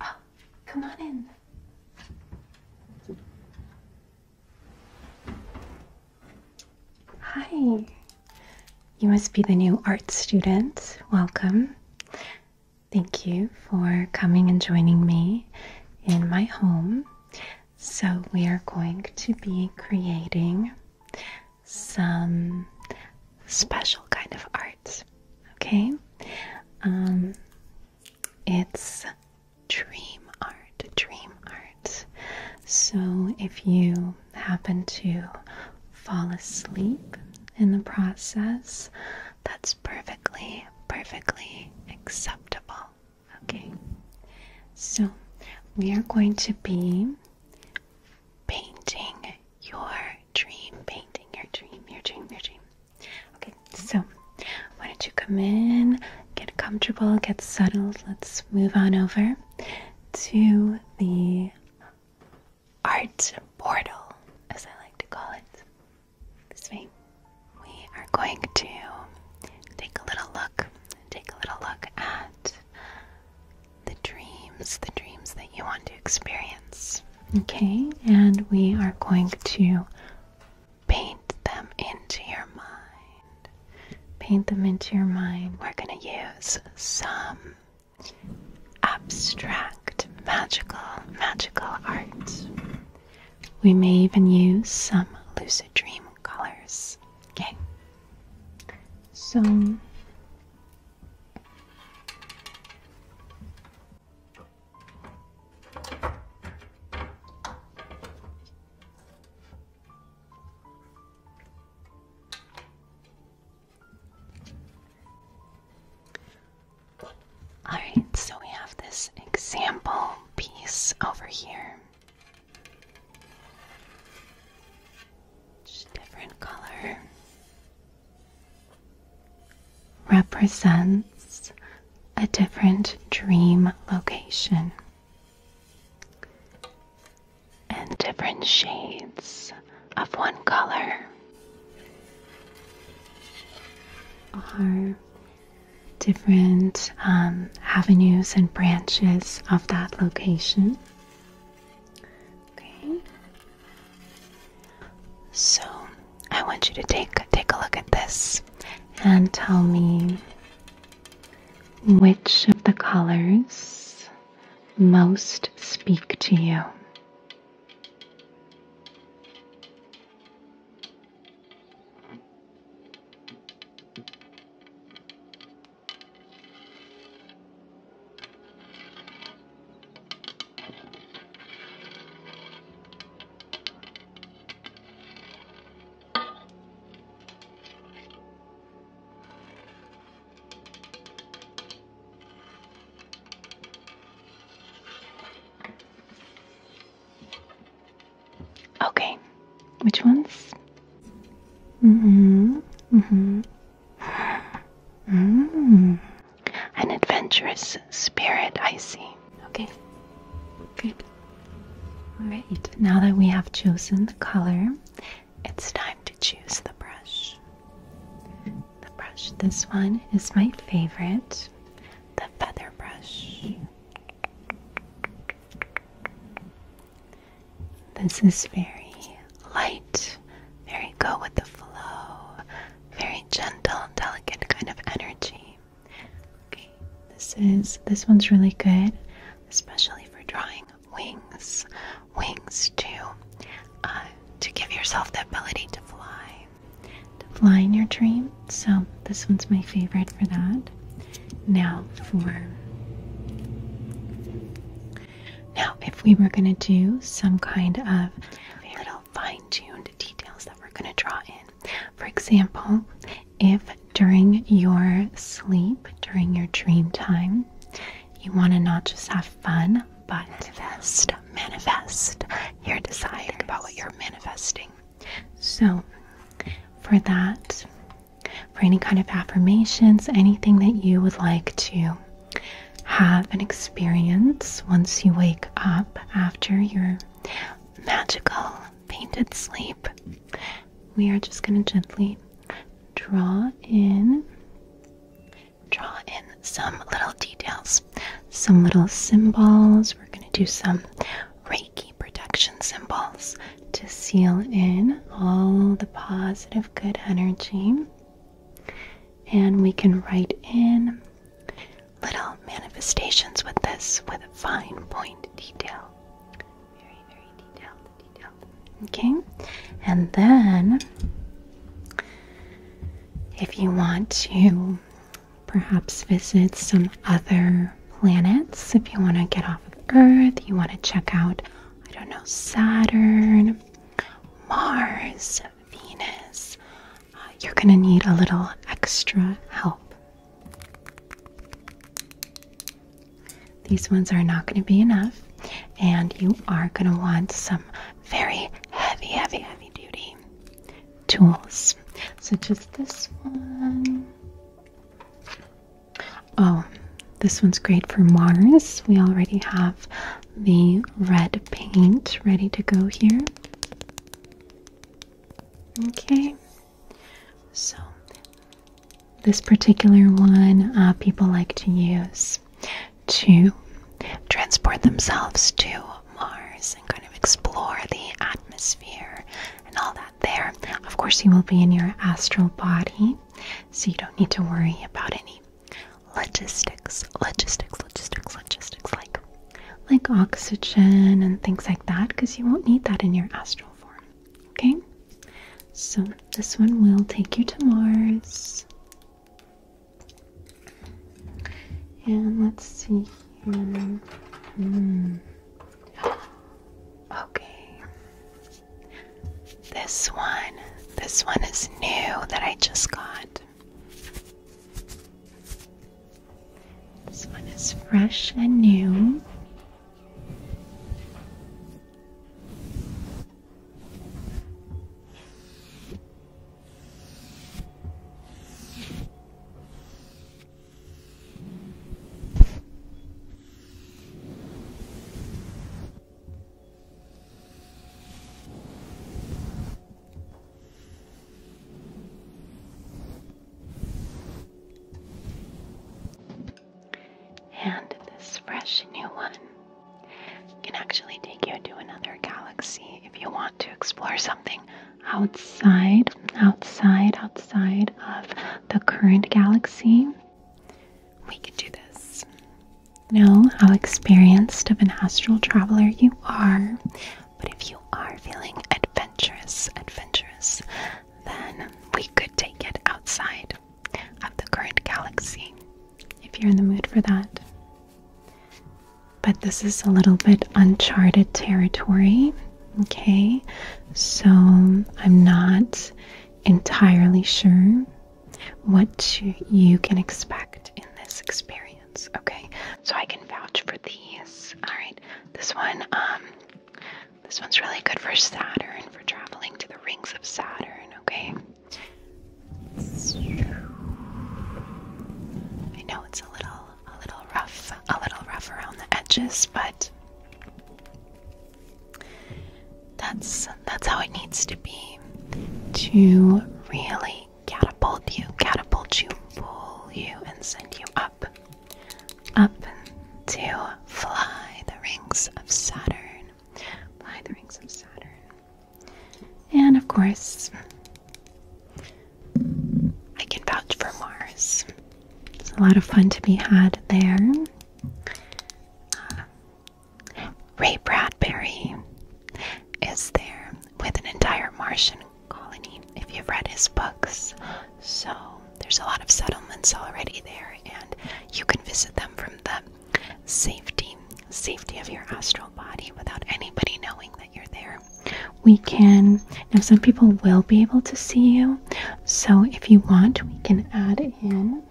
Oh, come on in. Hi. You must be the new art student. Welcome. Thank you for coming and joining me in my home. So, we are going to be creating some special kind of art. Okay, um, it's dream art, dream art. So if you happen to fall asleep in the process, that's perfectly, perfectly acceptable. Okay, so we are going to be painting your dream, painting your dream, your dream, your dream. Okay, so why don't you come in, get comfortable, get settled. Let's move on over to the art portal, as I like to call it. This way, we are going to take a little look, take a little look at the dreams, the dreams that you want to experience. Okay, and we are going to paint them into your mind. Paint them into your mind. We're going to use some abstract, magical, magical art. We may even use some lucid dream colors. Okay, so all right, so we have this example piece over here. Each different color represents a different dream location, and different shades of one color are different um, avenues and branches of that location. Okay. So I want you to take take a look at this and tell me which of the colors most speak to you. Okay, which ones? Mm-hmm. Mm-hmm. Mm. An adventurous spirit, I see. Okay, good. All right, now that we have chosen the color, it's time to choose the brush. The brush, this one is my favorite the feather brush. This is very light, very go with the flow, very gentle, delicate kind of energy. Okay, this is this one's really good, especially for drawing wings, wings too, uh, to give yourself the ability to fly, to fly in your dream. So this one's my favorite for that. Now for now, if we were going to do some kind of little fine-tuned details that we're going to draw in, for example, if during your sleep, during your dream time, you want to not just have fun, but manifest, manifest your desire. about what you're manifesting. So, for that, for any kind of affirmations, anything that you would like to have an experience once you wake up after your magical painted sleep. We are just going to gently draw in draw in some little details, some little symbols. We're going to do some Reiki protection symbols, to seal in all the positive good energy. And we can write in little manifestations with this with fine point detail. Very, very detailed, Okay? And then, if you want to perhaps visit some other planets, if you want to get off of Earth, you want to check out I don't know, Saturn, Mars, Venus, uh, you're going to need a little extra help. These ones are not going to be enough, and you are going to want some very heavy, heavy, heavy duty tools, such as this one. Oh, this one's great for Mars. We already have the red paint ready to go here. Okay, so this particular one uh, people like to use to transport themselves to Mars and kind of explore the atmosphere and all that there. Of course, you will be in your astral body so you don't need to worry about any logistics, logistics, logistics, logistics, like like oxygen and things like that, because you won't need that in your astral form. Okay, so this one will take you to Mars. And let's see here. Hmm. Okay. This one, this one is new that I just got. This one is fresh and new. And this fresh new one can actually take you to another galaxy if you want to explore something outside, outside, outside of the current galaxy. We can do this. Know how experienced of an astral traveler you are, but if you are feeling adventurous, adventurous, then we could take it outside of the current galaxy if you're in the mood for that. But this is a little bit uncharted territory, okay? So I'm not entirely sure what you can expect in this experience, okay? So I can vouch for these. All right. This one um this one's really good for Saturn for traveling to the rings of Saturn, okay? I know it's a little a little rough, a little rough around the edges, but that's that's how it needs to be to really catapult you, catapult you, pull you, and send you up, up to fly the rings of Saturn, fly the rings of Saturn, and of course, I can vouch for Mars. It's a lot of fun to be had there. Ray Bradbury is there with an entire Martian colony if you've read his books. So there's a lot of settlements already there, and you can visit them from the safety safety of your astral body without anybody knowing that you're there. We can now some people will be able to see you. So if you want, we can add in,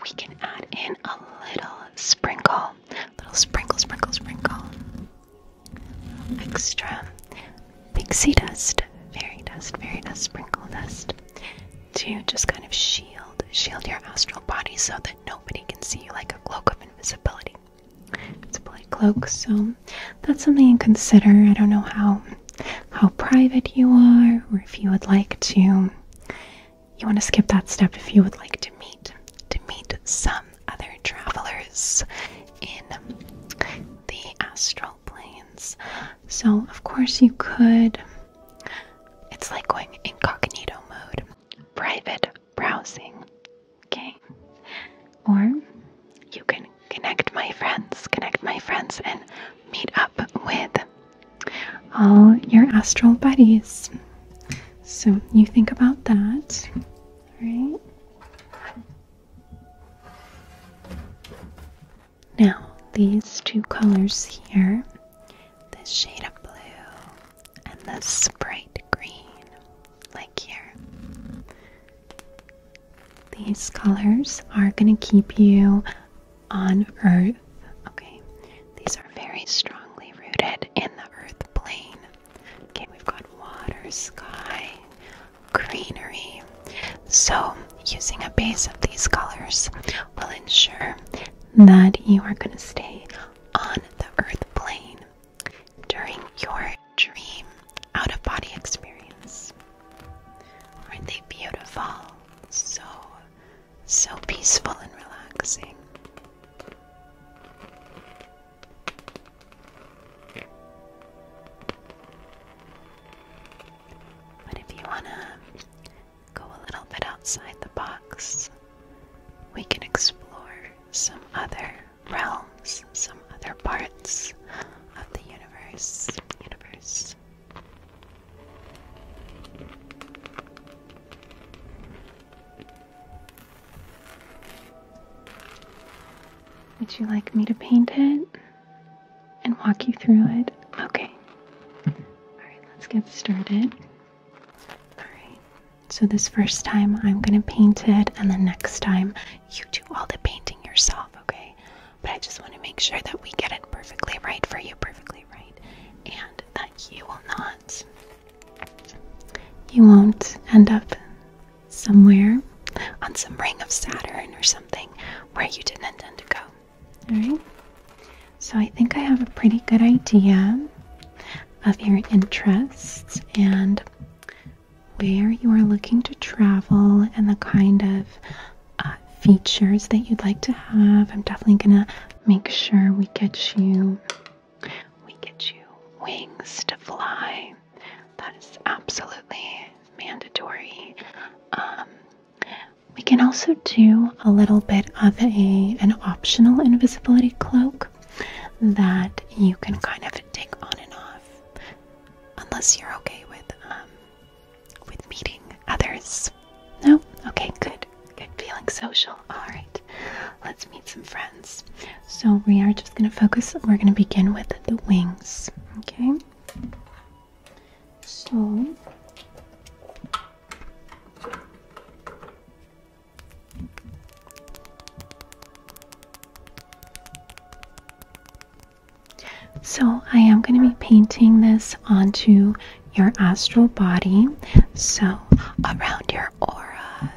we can add in a little sprinkle. Little sprinkle, sprinkle, sprinkle. Extra pixie dust, fairy dust, fairy dust, sprinkle dust to just kind of shield, shield your astral body so that nobody can see you like a cloak of invisibility. It's a black cloak, so that's something you consider. I don't know how how private you are or if you would like to you want to skip that step if you would like to meet to meet some other travelers in the astral planes. So of course you could it's like going incognito mode, private browsing, okay? Or you can connect my friends, connect my friends, and meet up with all your astral buddies. So you think about that, right? Now, these two colors here the shade of blue and the bright green, like here. These colors are going to keep you on Earth. Okay, these are very strongly rooted in the Earth plane. Okay, we've got water, sky, greenery. So, using a base of these colors will ensure that you are going to stay on the Earth plane during your dream out of body experience. Aren't they beautiful? So, so peaceful and relaxing. But if you want to go a little bit outside the box, we can explore some other realms, some other parts of the universe. Universe. Would you like me to paint it and walk you through it? Okay. Alright, let's get started. Alright, so this first time I'm going to paint it, and the next time you do all the painting yourself, okay? But I just want to make sure that we get it perfectly right for you, perfectly right, and that you will not, you won't end up somewhere on some ring of Saturn or something where you didn't intend to go. Alright? So I think I have a pretty good idea of your interests and where you are looking to travel and the kind of uh, features that you'd like to have. I'm definitely gonna make sure we get you we get you wings to fly. That is absolutely mandatory. Um, we can also do a little bit of a an optional invisibility cloak that you can kind of take on and off unless you're okay with um, with meeting others. No? Okay, good. Good feeling social. Alright. Let's meet some friends. So we are just gonna focus we're gonna begin with the wings. Okay. So so, I am going to be painting this onto your astral body, so around your aura.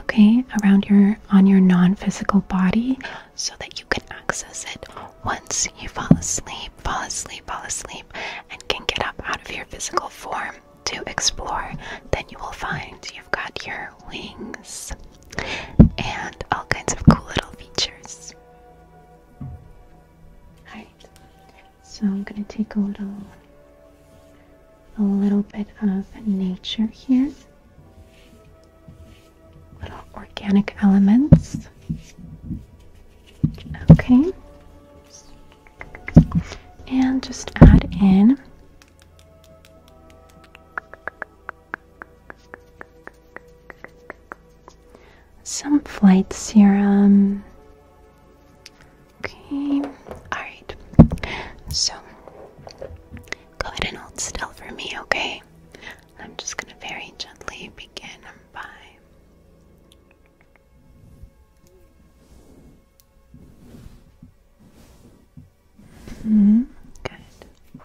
Okay, around your on your non-physical body so that you can access it once you fall asleep, fall asleep, fall asleep and can get up out of your physical form to explore. Then you will find you've got your wings and all kinds of cool little features. Alright, so I'm gonna take a little a little bit of nature here. Little organic elements. Okay. And just add in some flight serum. Okay, alright. So, go ahead and hold still for me, okay? I'm just gonna very gently begin by. -hmm. Good.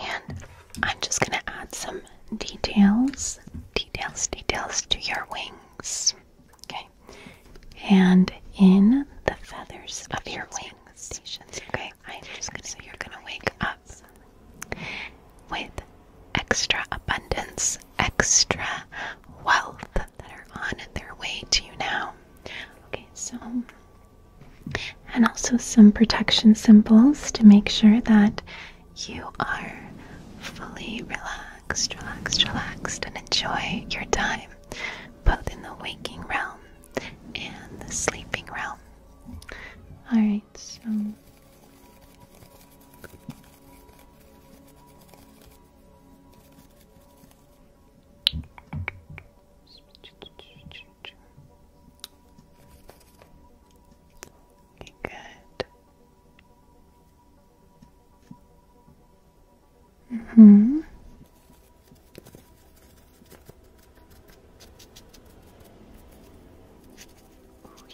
And I'm just going to add some details, details, details to your wings. Okay. And in the feathers of your wings. Okay. I'm just going to so you're going to wake up with extra abundance, extra wealth, that are on their way to you now. Okay, so, and also some protection symbols to make sure that you are fully relaxed, relaxed, relaxed, and enjoy your time, both in the waking realm and the sleeping realm. Alright, so. Okay, good. Mm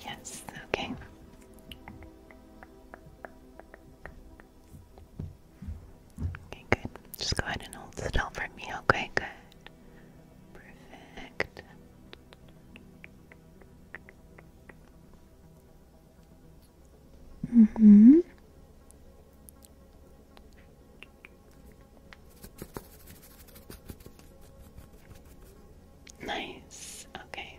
yes, okay. Okay, good. Just go ahead and hold still for me. Okay, good. Perfect. Mm hmm. Nice. Okay.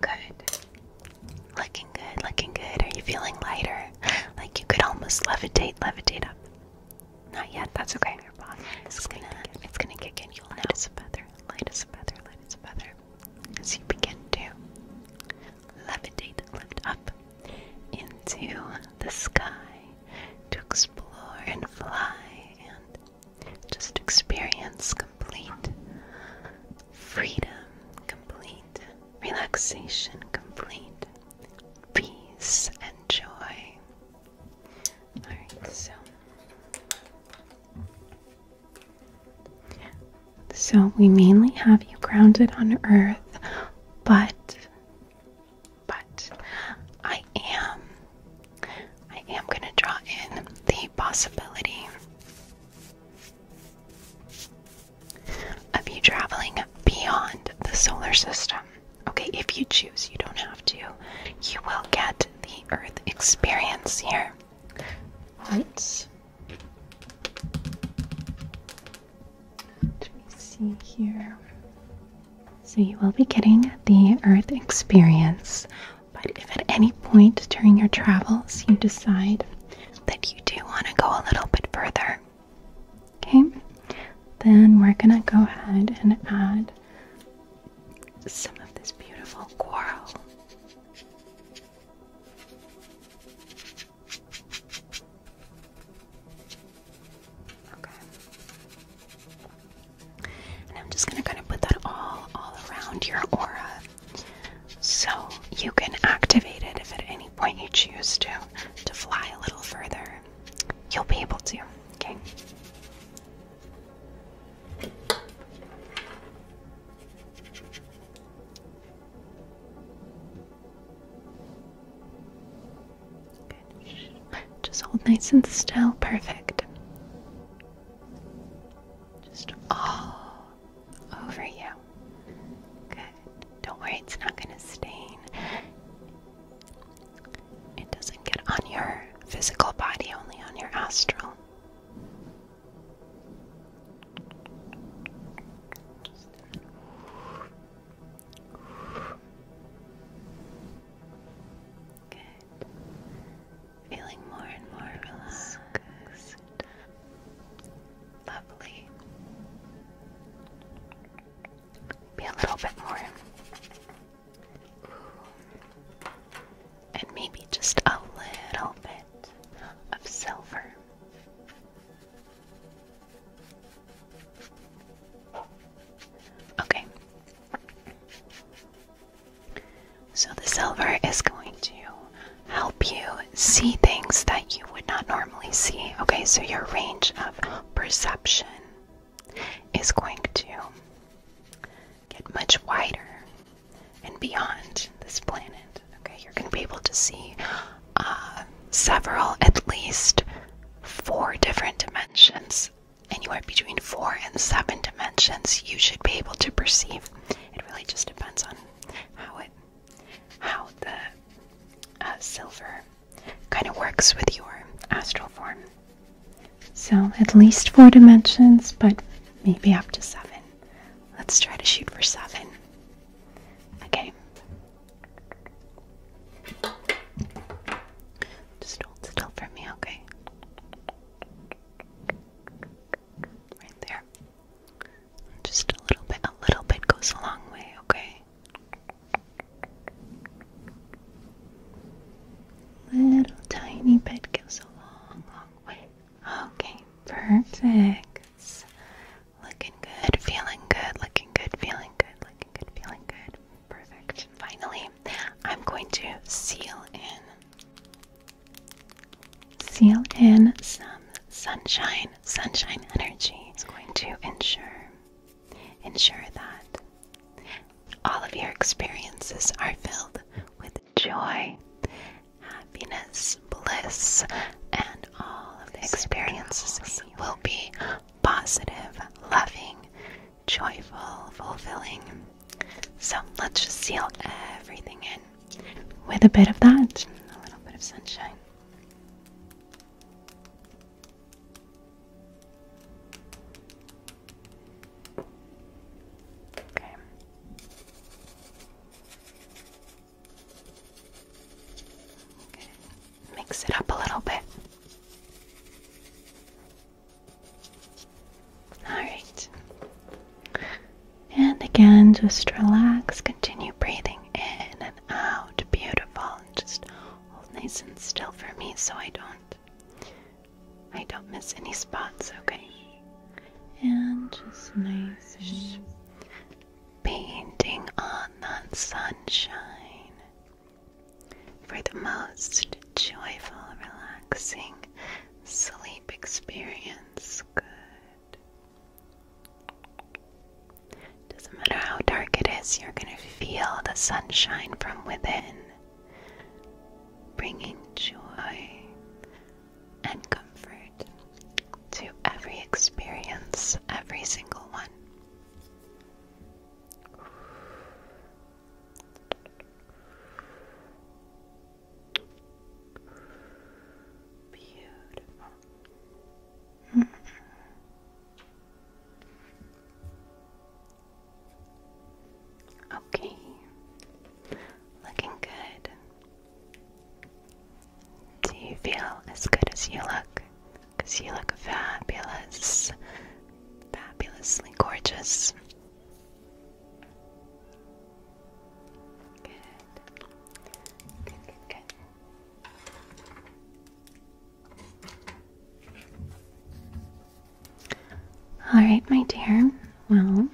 Good. Looking good, looking good. Are you feeling lighter? Like you could almost levitate, levitate up. Not yet, that's okay. it's gonna it's gonna kick in. You'll light as a feather, light as a feather, light as a feather. As you begin to levitate, lift up into the sky to explore and fly and just experience complete Freedom complete, relaxation complete, peace and joy. Alright, so. So we mainly have you grounded on earth, but but I am I am gonna draw in the possibility of you traveling beyond the solar system. Okay, if you choose, you don't have to. You will get the Earth experience here. Once, let me see here. So you will be getting the Earth experience, but if at any point during your travels you decide that you do want to go a little bit further. Okay, then we're gonna go ahead and add some of this beautiful coral. Okay. And I'm just gonna kind of put that all all around your aura. So you can activate it if at any point you choose to to fly a little further. You'll be able to. Okay. Just hold nice and still. Perfect. Just all over you. Good. Don't worry, it's not going to stain. It doesn't get on your physical body, only on your astral. Good feeling more and more relaxed. Lovely. Be a little bit more. And maybe just a little bit of silver. Okay. So, the silver is going to help you see things that you would not normally see. Okay, so your range of perception is going to get much wider and beyond this planet. Okay, you're going to be able to see uh, several, at least four different dimensions. Anywhere between four and seven dimensions, you should be able to perceive it really just depends on how it, how the uh, silver kind of works with your astral form. So at least four dimensions, but maybe up to seven. Let's try to shoot for seven. Okay. Just hold still for me, okay? right there. Just a little bit, a little bit goes a long way, okay? Little tiny bit goes a long, long way. Okay, perfect. Looking good, feeling good, looking good, feeling good, looking good, feeling good. Perfect. Finally, I'm going to seal in Seal in some sunshine, sunshine energy is going to ensure ensure that all of your experiences are filled with joy, happiness, bliss, and all of the experiences will be positive, loving, joyful, fulfilling. So let's just seal everything in with a bit of that, a little bit of sunshine. Okay. Okay. Mix it up a little bit. All right. And again, just relax. Continue breathing in and out. Beautiful. And just hold nice and still for me, so I don't, I don't miss any spots. Okay. And just nice and painting on that sunshine for the most joyful, relaxing sleep experience sounds good. Doesn't matter how dark it is, you're going to feel the sunshine from within, bringing joy and comfort to every experience, every single one. Beautiful. Okay, looking good. Do you feel as good as you look? Because you look fabulous, fabulously gorgeous. Good. Good, good, All right, my dear. Well,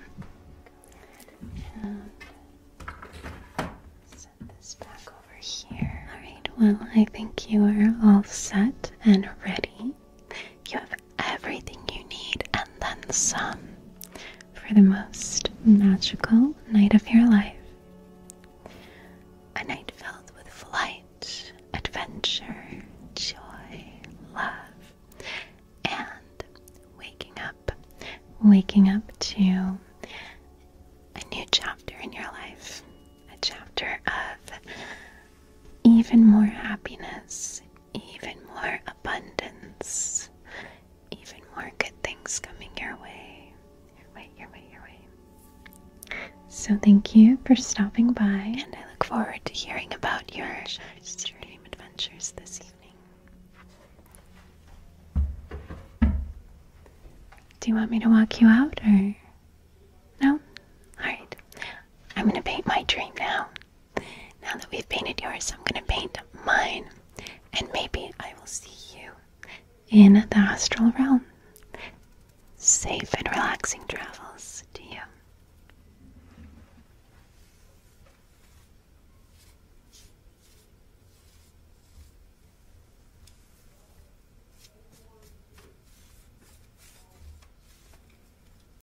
and um, this back over here. All right, well, I think you are all set and ready you have everything you need and then some for the most magical night of your life. A night filled with flight, adventure, joy, love, and waking up, waking up to a new chapter in your life, a chapter of even more happiness, even more abundance, even more good things coming your way. Your way, your way, your way. So, thank you for stopping by, and I look forward to hearing about your dream adventures this evening. Do you want me to walk you out, or no? All right, I'm gonna paint my dream now. Now that we've painted yours, I'm going to paint mine, and maybe I will see you in the astral realm. Safe and relaxing travels to you.